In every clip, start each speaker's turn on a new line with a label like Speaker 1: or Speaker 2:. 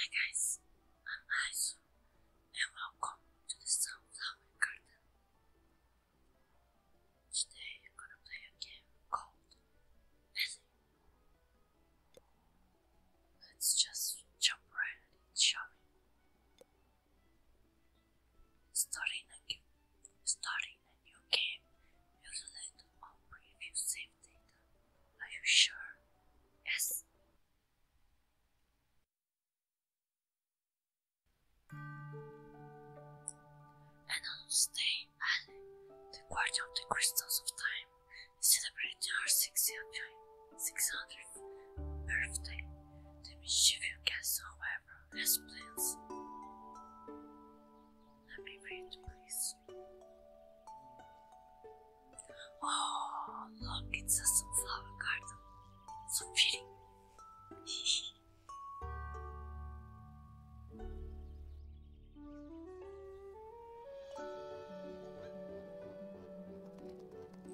Speaker 1: Hi guys, I'm Aizu and welcome to the Sunflower Garden. Today I'm gonna play a game called Ellie. Let's just jump right at it, shall we? Starting a, starting a new game will on previous save are you sure? Yes. And on this day, Ali, the guardian of the crystals of time, is celebrating her 600th birthday. The you guest, however, has plans. Let me read, please. Oh, look, it's a sunflower garden. So pretty.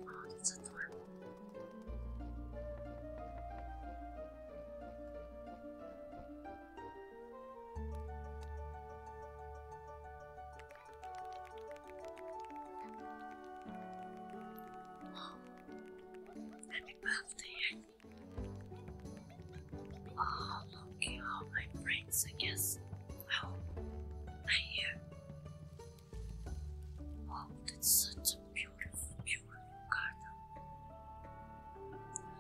Speaker 1: oh, that's adorable. Oh, happy birthday! Oh, look at all my friends, I guess. Oh, I hear. Oh, that's such a beautiful, beautiful garden.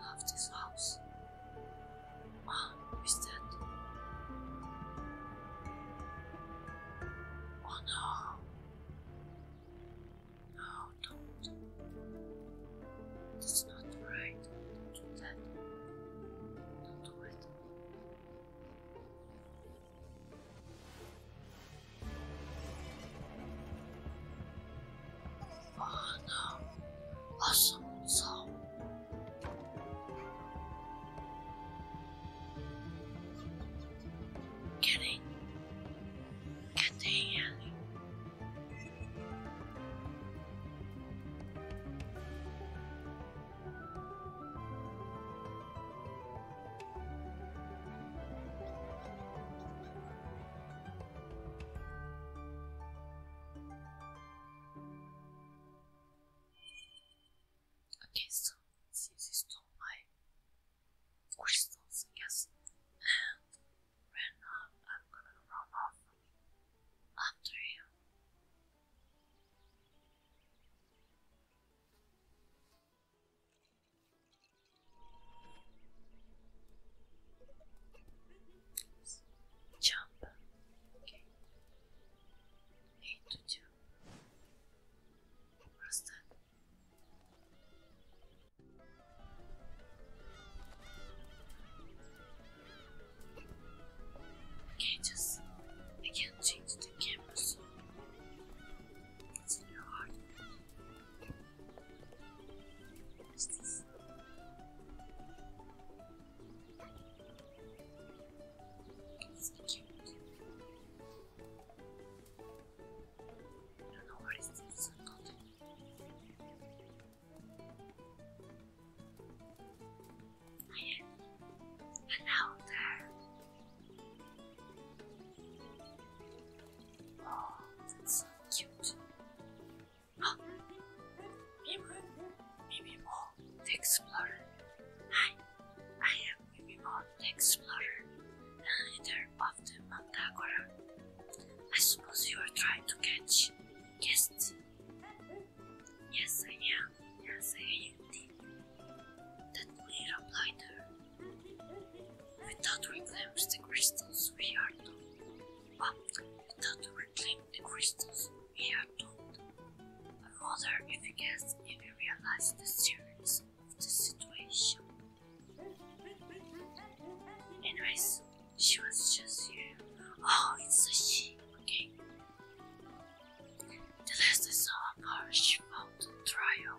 Speaker 1: love this house. Ah, that? Oh no. No, don't. That's not right. do do that. Don't do it. Fana Asunção. Querem? Cadê ele? Okay, so since he stole my crystals, I guess, and ran off, I'm gonna run off after him jump. Okay. Need to Okay, just I can't change the camera, it's in your heart. What's it's cute. I don't know what is this called. I am an outer. Oh, that's so cute. Mimo, Mimimo the Explorer. Hi, I am Mimimo the Explorer, the leader of the Mandagora. I suppose you are trying to catch guests. Yes, I am. Yes, I am. That little blinder. Without reclaiming the crystals we are doing. without reclaiming the crystals we are told, but rather efficace if we realize the seriousness of the situation. Anyways, she was just here. Oh, it's a she, okay. The last I saw of her, she found the trail.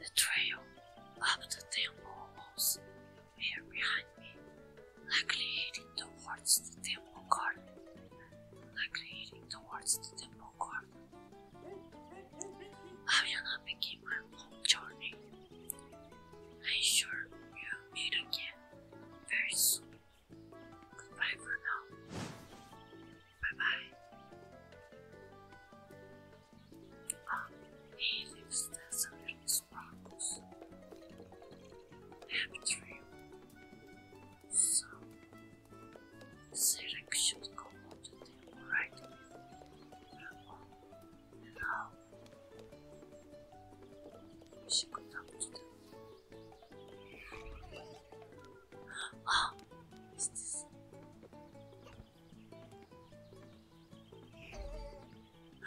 Speaker 1: The trail up the temple walls here behind me likely heading towards the temple garden. Likely heading towards the temple garden. Ariana began her long journey. I'm sure we'll meet again very soon. Goodbye for now. Bye bye. Ah, he lives the sparkles. Have So, Sirek should go on the tail she could not do Oh, this?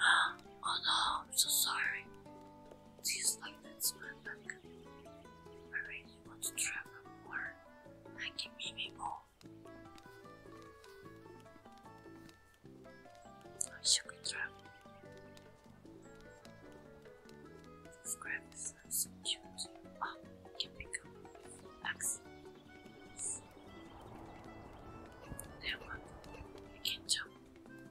Speaker 1: Ah, oh no, I'm so sorry just like that's not that I really want to travel more. I can maybe more. I should travel. Subscribe if that's cute. oh, can become access. Then what? I can jump.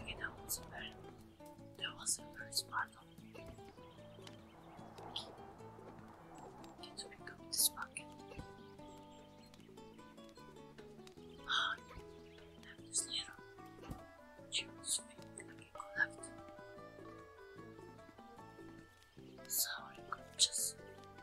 Speaker 1: Okay, that was better. That was the first part of the video. let this bucket. Ah, I have this little juice thing I can collect. So I could just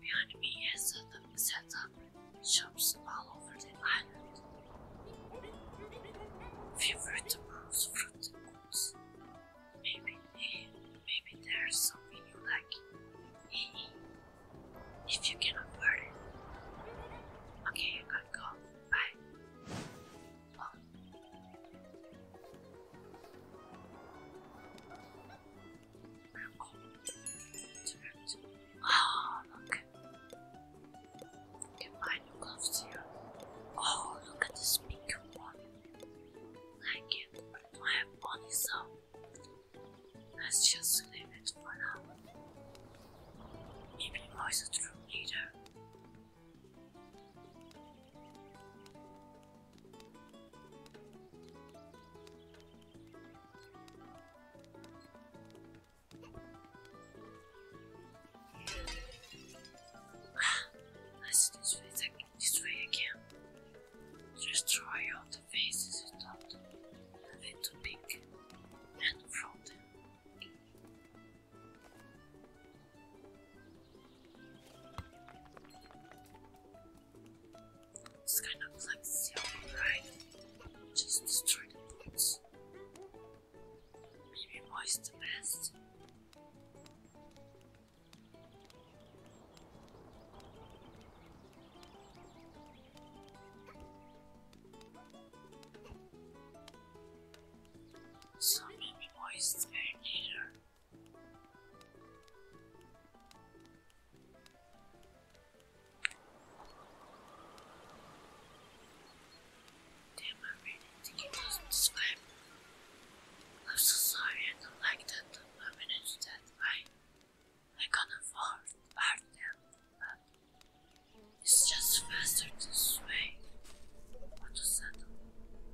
Speaker 1: Behind me is the set of shops all over the island. Favorite moves, fruit moves. Maybe, maybe there's something you like. If you can afford it. Okay, I gotta go. Bye. Oh, look. You can new gloves here. Oh, look at this pink one. I don't have money, so let's just leave it for now. Maybe voice a true leader. Let's this way, this way again. Destroy all the faces without having to pick and from them. It's kind of like Zelda, right? Just destroy the boots. Maybe Moist the best. So maybe Moist is better. Damn, I really think it does I'm so sorry, I don't like that the permanence that I, I can't afford part them, but it's just faster to sway. What does that do?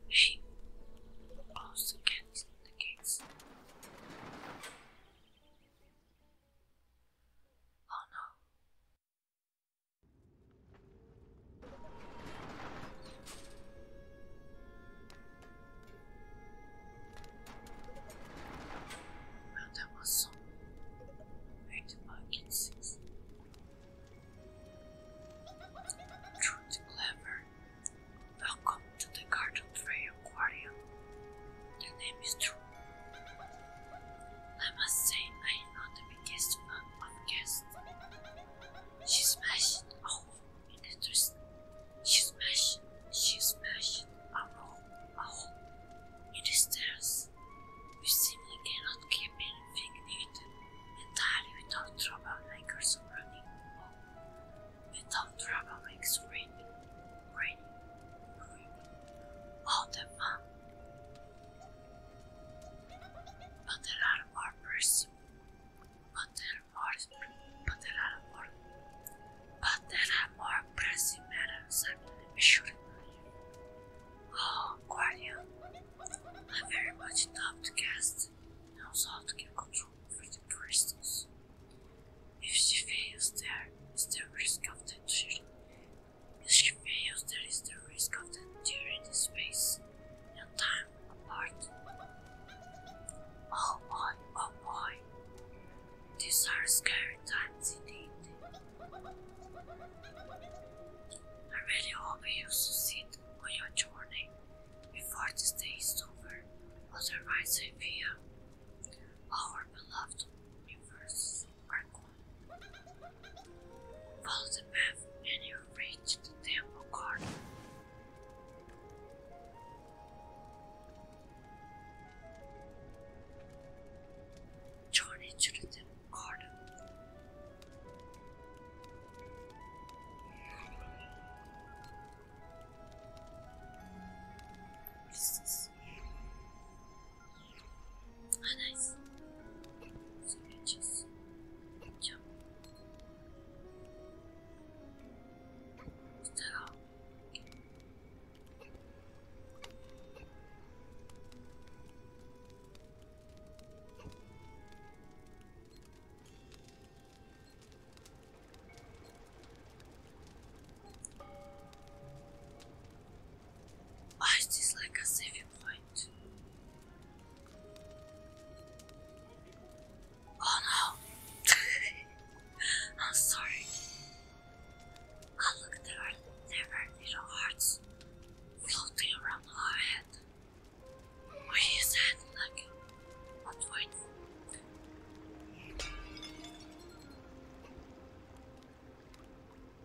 Speaker 1: Hey, close the gates, the gates. Oh no. Well, that was some eight buckets. Truth clever Welcome to the Garden Prey Aquarium. The name is true. I must say I am not the biggest fan of guests. She smashed a hole in the twist. She smashed she smashed a roll a hole in the stairs. We simply cannot keep anything neat entirely without trouble like her running without trouble makes raining, raining, raining all the time, But there are more persons. But there are more. But there are more. pressing matters I shouldn't leave. Oh, Guardian, I very much doubt the guest knows how to get control over the crystals. If she fails, there is the risk of the turret. If she fails, there is the risk of the turret space and time apart. Oh boy, oh boy. These are scary times indeed. I really hope you succeed on your journey before this day is over, otherwise I fear our beloved rivers are gone. Follow the path and you will reach the temple garden. Journey to the temple garden. Ah, nice. So just jump. Stop. I just like a saving point? Oh no! I'm sorry. Oh look, there are, little hearts floating around our head. Where is that? Like upwards.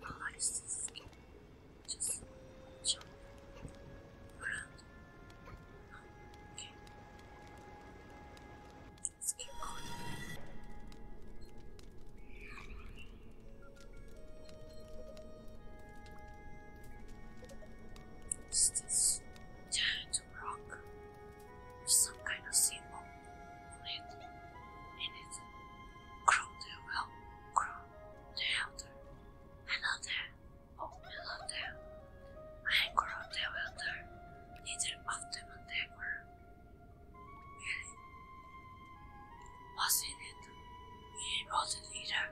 Speaker 1: Polaris just jump around. Oh, okay. Let's keep going. Just this? Dad to rock with some kind of symbol on it, and it crowed the well, crowed the elder. Hello there, oh hello there. I am crowed the elder, leader of the Mandagur. Really? Wasn't it? We are the leader.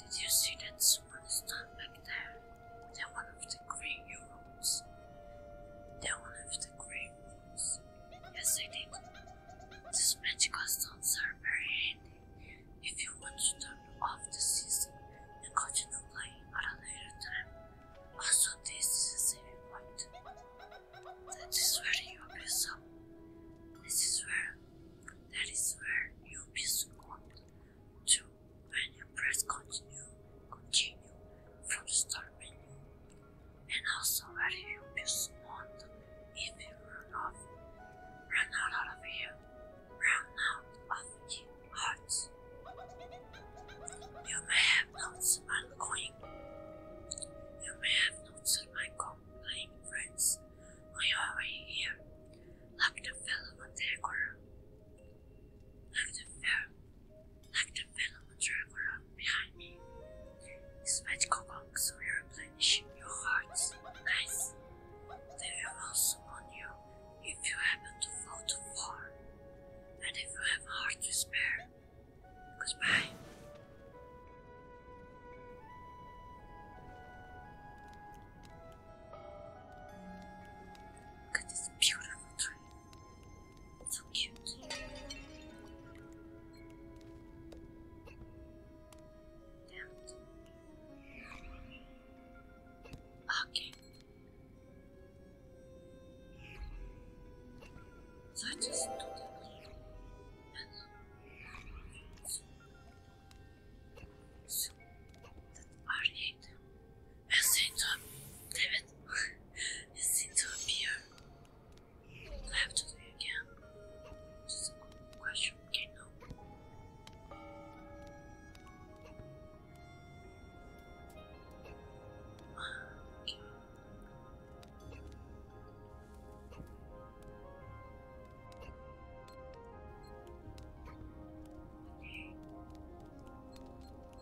Speaker 1: Did you see that someone stand back there? They're one of the great heroes. They're one of the great euros. Yes, I did. These magic stones are very handy if you want to turn off the season and continue playing at a later time. Also, this is a saving point. That is where you will up. This is where, that is where you piece up to and you press continue, continue from the start menu. And also whether you use on if you run off, run out of here, run out of your hearts. You may have noticed my coin. You may have noticed my complaint friends I your way here, like the fellow on the corner. Like the veil, like the fellow traveler behind me. These magical bombs will replenish your hearts. Nice. They will also on you if you happen to fall too far. And if you have heart to spare. Goodbye. Look at this beautiful tree. So cute. Damn Okay. So I just do that. So that are it. It seemed to, David, it seemed to appear. I have to do it again. Just a good question, okay, no.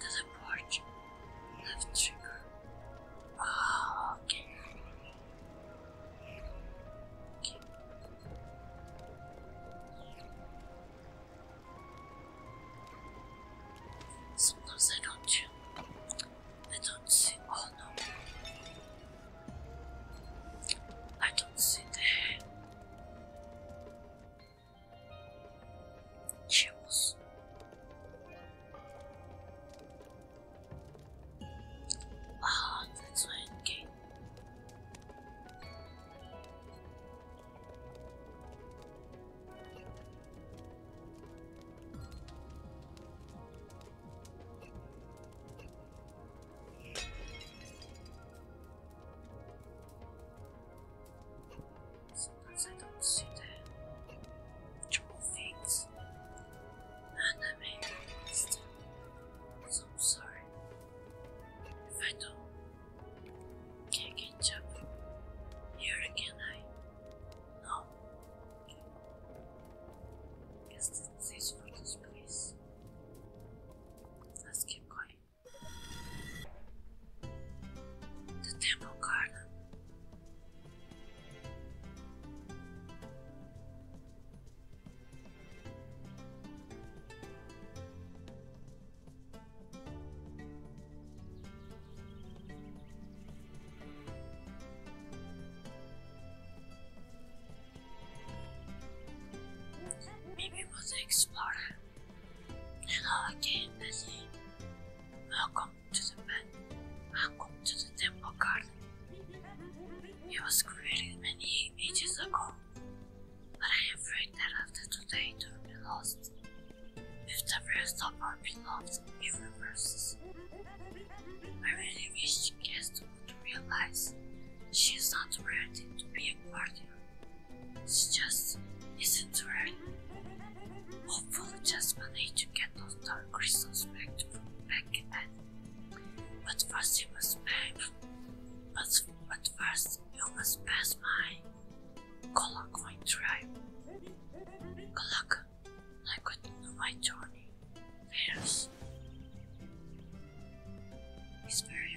Speaker 1: To the porch. Left trigger. Oh, okay. Sometimes I don't I don't see. Oh no. I don't see the Chills. Ah, that's why I Sometimes I don't see the true I'm sorry if I don't can catch here again. I no. Guess this is for this place. Let's keep going. The Temple Garden. Maybe we'll explore Hello again, Bessie. Welcome to the bed. Welcome to the temple garden. It was created many ages ago, but I am afraid that after today it will be lost. If the rest of our beloved it I really wish Guest would realize she is not worthy to be a guardian it's just isn't right. Hopefully, just managed to get those dark crystals back to back at. But first, you must pass. But, but first, you must pass my Kolakoin tribe. Kolak, I continue my journey. Yes. It's very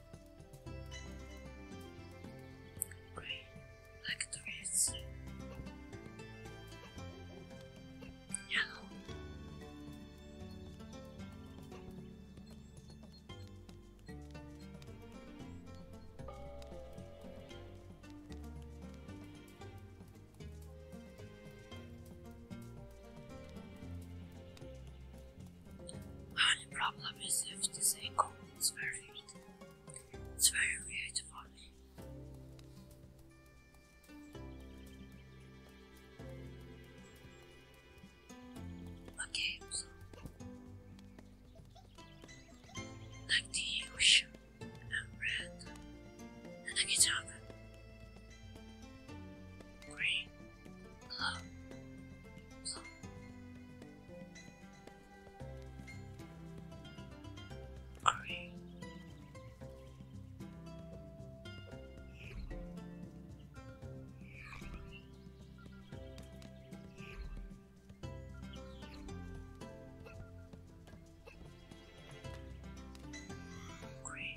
Speaker 1: Grey, like the rest. The only problem is if this angle is very weird. It's very weird for me. Okay, like the ocean and red and the guitar green, blue Green. Green.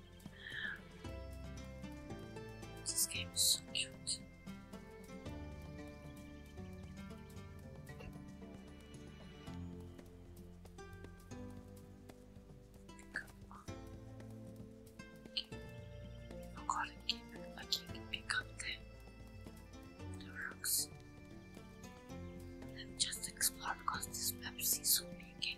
Speaker 1: This game is so cute. Pick up I'll call it keep I can pick up the, the rocks. Let me just explore because this map is so big.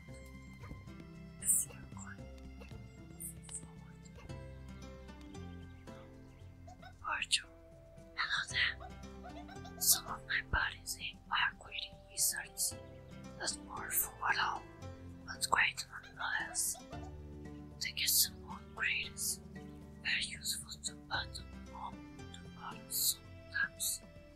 Speaker 1: This hello there. Some of my buddies are quitting research. That's more for what all, but great nonetheless. They get some more grades, are useful to battle on the battle sometimes.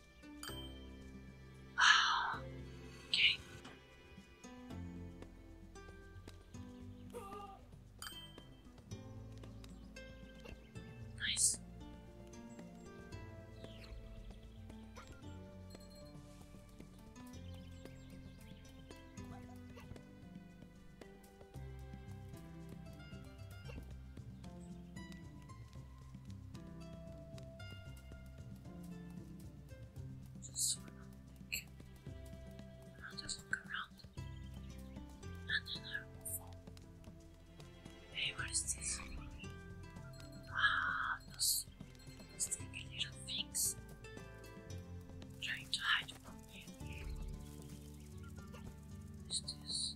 Speaker 1: okay. Nice. Just sort i just look around. And then I will fall. Hey, what is this? Wow, ah, those little things. Trying to hide from me. What is this?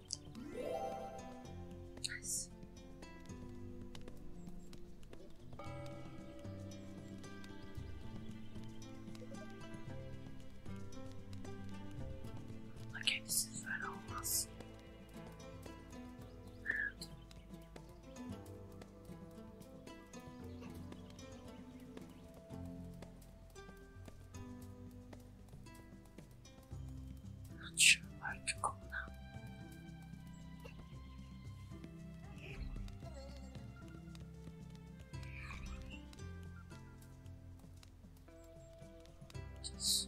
Speaker 1: Nice. Okay, this is right on not sure where to go now. Just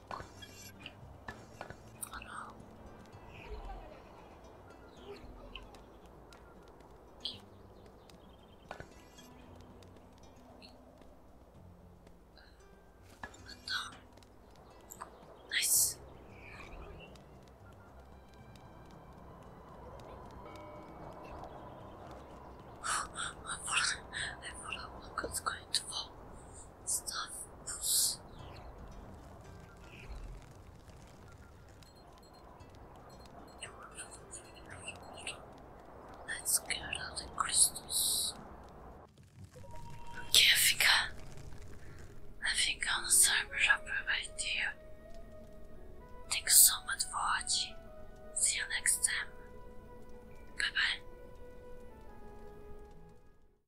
Speaker 1: Hello. Nice. I thought I thought I was going to fall. Stuff. Let's get out the crystals. Okay, I think I, I think I'm gonna Thank you so much for watching. See you next time. Bye bye.